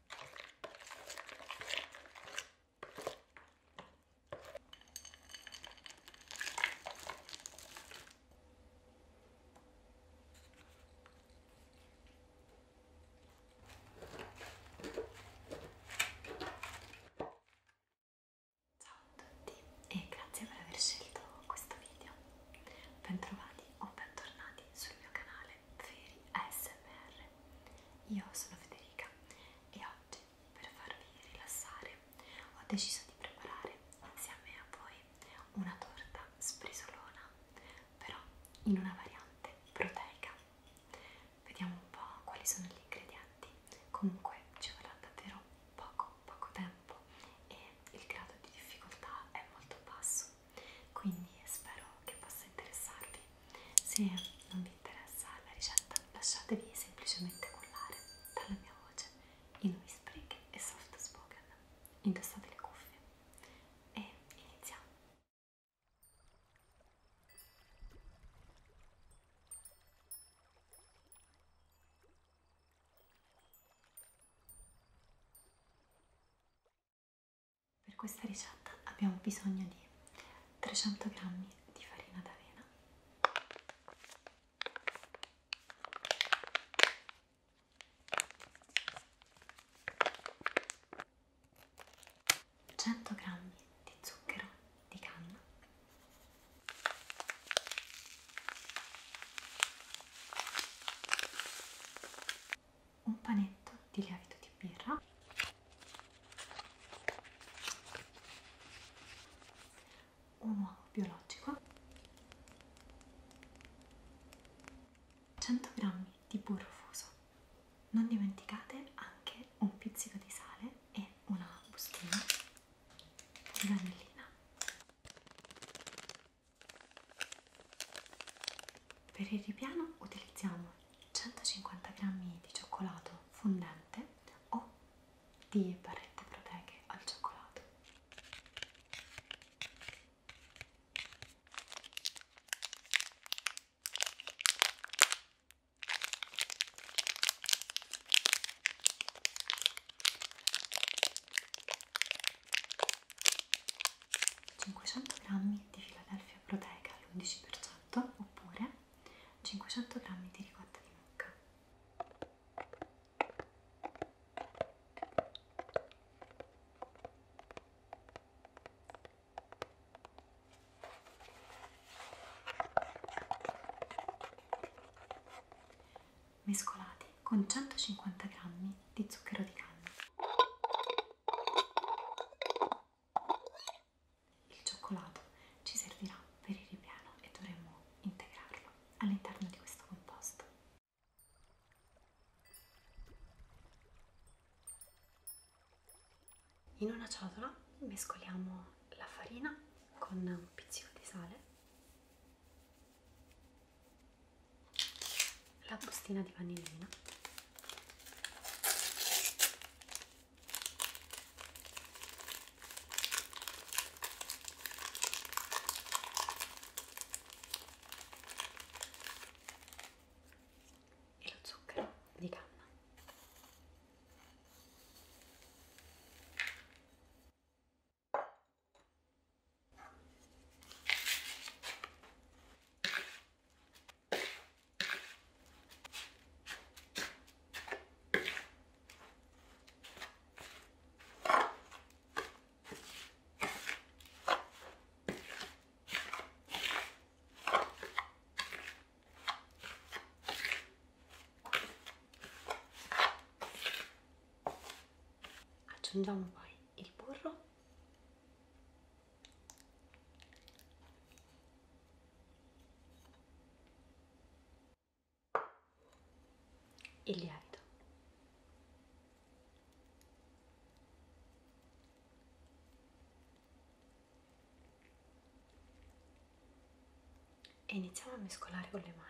Ciao a tutti e grazie per aver scelto questo video. Bentrovati o bentornati sul mio canale veri ASMR. Io sono Federica e oggi per farvi rilassare ho deciso di preparare insieme a voi una torta sprisolona, però in una variante proteica. Vediamo un po' quali sono gli ingredienti. Comunque ci vorrà davvero poco poco tempo e il grado di difficoltà è molto basso quindi spero che possa interessarvi se non vi interessa la ricetta lasciatevi semplicemente cullare dalla mia voce in whispering e soft spoken indossate le cuffie e iniziamo per questa ricetta abbiamo bisogno di 300 g di farina d'avena, 100 g di zucchero di canna, 1 un panetto di lievito di birra un uovo biologico 100 g di burro fuso non dimenticate anche un pizzico di sale e una bustina di vanillina per il ripiano utilizziamo 150 g di cioccolato fondente o di barrette proteiche al cioccolato. Cinquecento grammi di Philadelphia stevia proteica all'11% oppure 500 g di ricotta di mucca. Mescolati con 150 g di zucchero di canna. Il cioccolato ci servirà per il ripiano e dovremo integrarlo all'interno di questo composto. In una ciotola mescoliamo la farina con un pizzico di sale la bustina di vanillina e lo zucchero di canna aggiungiamo poi il burro il lievito. E iniziamo a mescolare con le mani.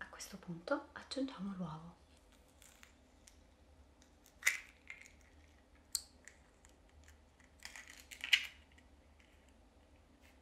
A questo punto aggiungiamo l'uovo.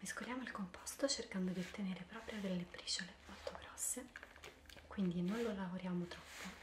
Mescoliamo il composto cercando di ottenere proprio delle briciole molto grosse, quindi non lo lavoriamo troppo.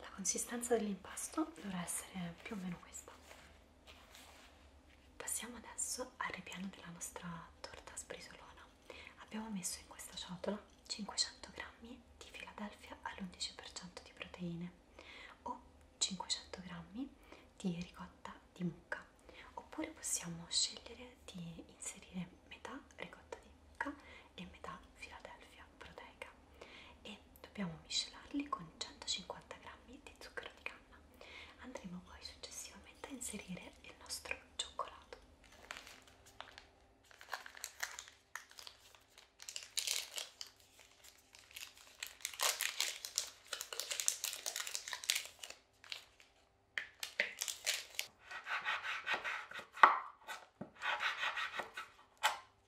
La consistenza dell'impasto dovrà essere più o meno questa. Passiamo adesso al ripiano della nostra torta sbrisolona. Abbiamo messo in questa ciotola 500 g di Philadelphia all'11% di proteine o 500 g di ricotta di mucca. Oppure possiamo scegliere di inserire metà ricotta di mucca e metà Philadelphia proteica e dobbiamo miscelarli con 150 g di zucchero di canna. Andremo poi successivamente a inserire il nostro cioccolato.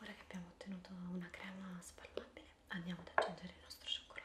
Ora che abbiamo ottenuto una crema spalmabile, andiamo ad aggiungere il nostro cioccolato.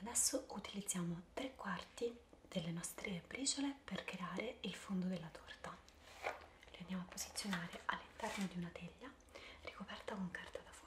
Adesso utilizziamo tre quarti delle nostre briciole per creare il fondo della torta. Le andiamo a posizionare all'interno di una teglia ricoperta con carta da forno.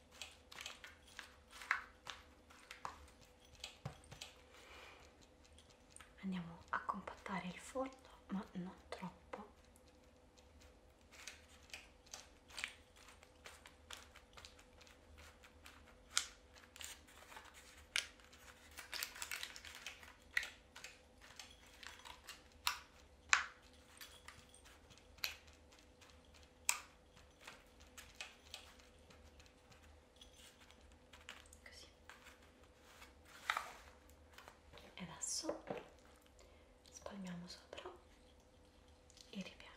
Andiamo a compattare il forno, ma non troppo così e adesso spalmiamo sopra il ripiano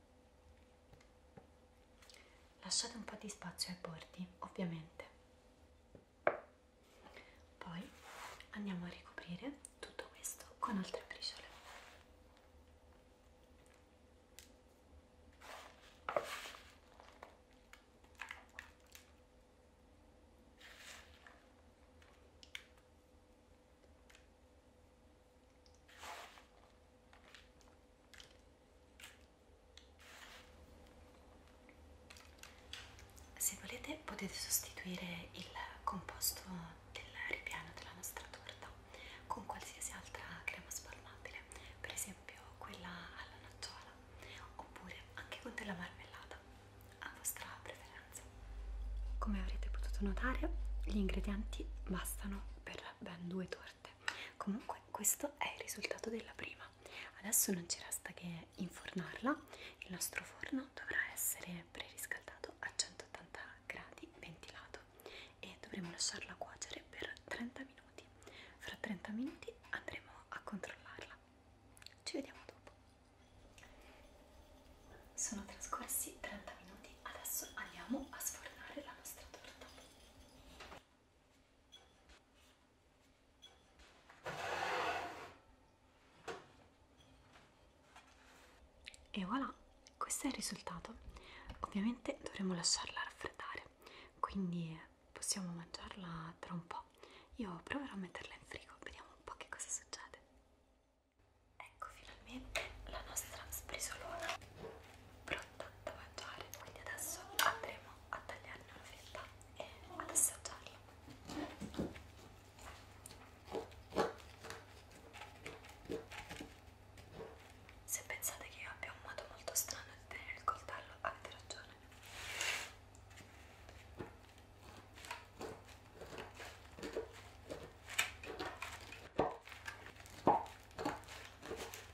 Lasciate un po' di spazio ai bordi, ovviamente. Poi andiamo a ricoprire tutto questo con altre briciole. Se volete potete sostituire il composto del ripiano della nostra torta con qualsiasi altra crema spalmabile, per esempio quella alla nocciola, oppure anche con della marmellata, a vostra preferenza. Come avrete potuto notare, gli ingredienti bastano per ben due torte comunque questo è il risultato della prima adesso non ci resta che infornarla il nostro forno dovrà essere preriscaldato a 180 gradi ventilato e dovremo lasciarla cuocere per 30 minuti fra 30 minuti andremo a controllarla ci vediamo dopo sono trascorsi 30 minuti adesso andiamo a sfornare la nostra torta e voilà, questo è il risultato. Ovviamente dovremo lasciarla raffreddare, quindi possiamo mangiarla tra un po'. Io proverò a metterla in frigo, vediamo un po' che cosa succede. Ecco finalmente la nostra sprisolona. Pronta ho tanto da mangiare quindi adesso andremo a tagliarne una fetta e ad assaggiarla se pensate che io abbia un modo molto strano di tenere il coltello avete ragione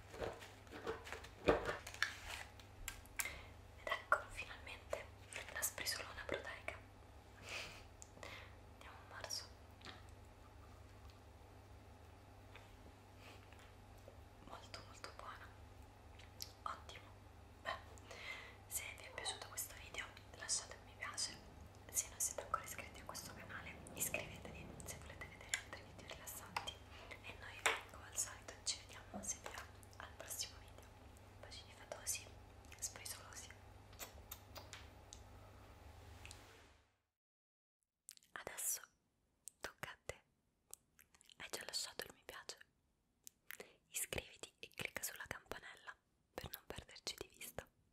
ed ecco finalmente la sprisolona proteica. Andiamo a marzo. Molto molto buona. Ottimo. Beh, se vi è piaciuto questo video lasciate un mi piace. Se non siete ancora iscritti a questo canale iscrivetevi se volete vedere altri video rilassanti e noi come al solito ci vediamo se vi va al prossimo video bacini fatosi sprisolosi adesso tocca a te hai già lasciato il mi piace iscriviti e clicca sulla campanella per non perderci di vista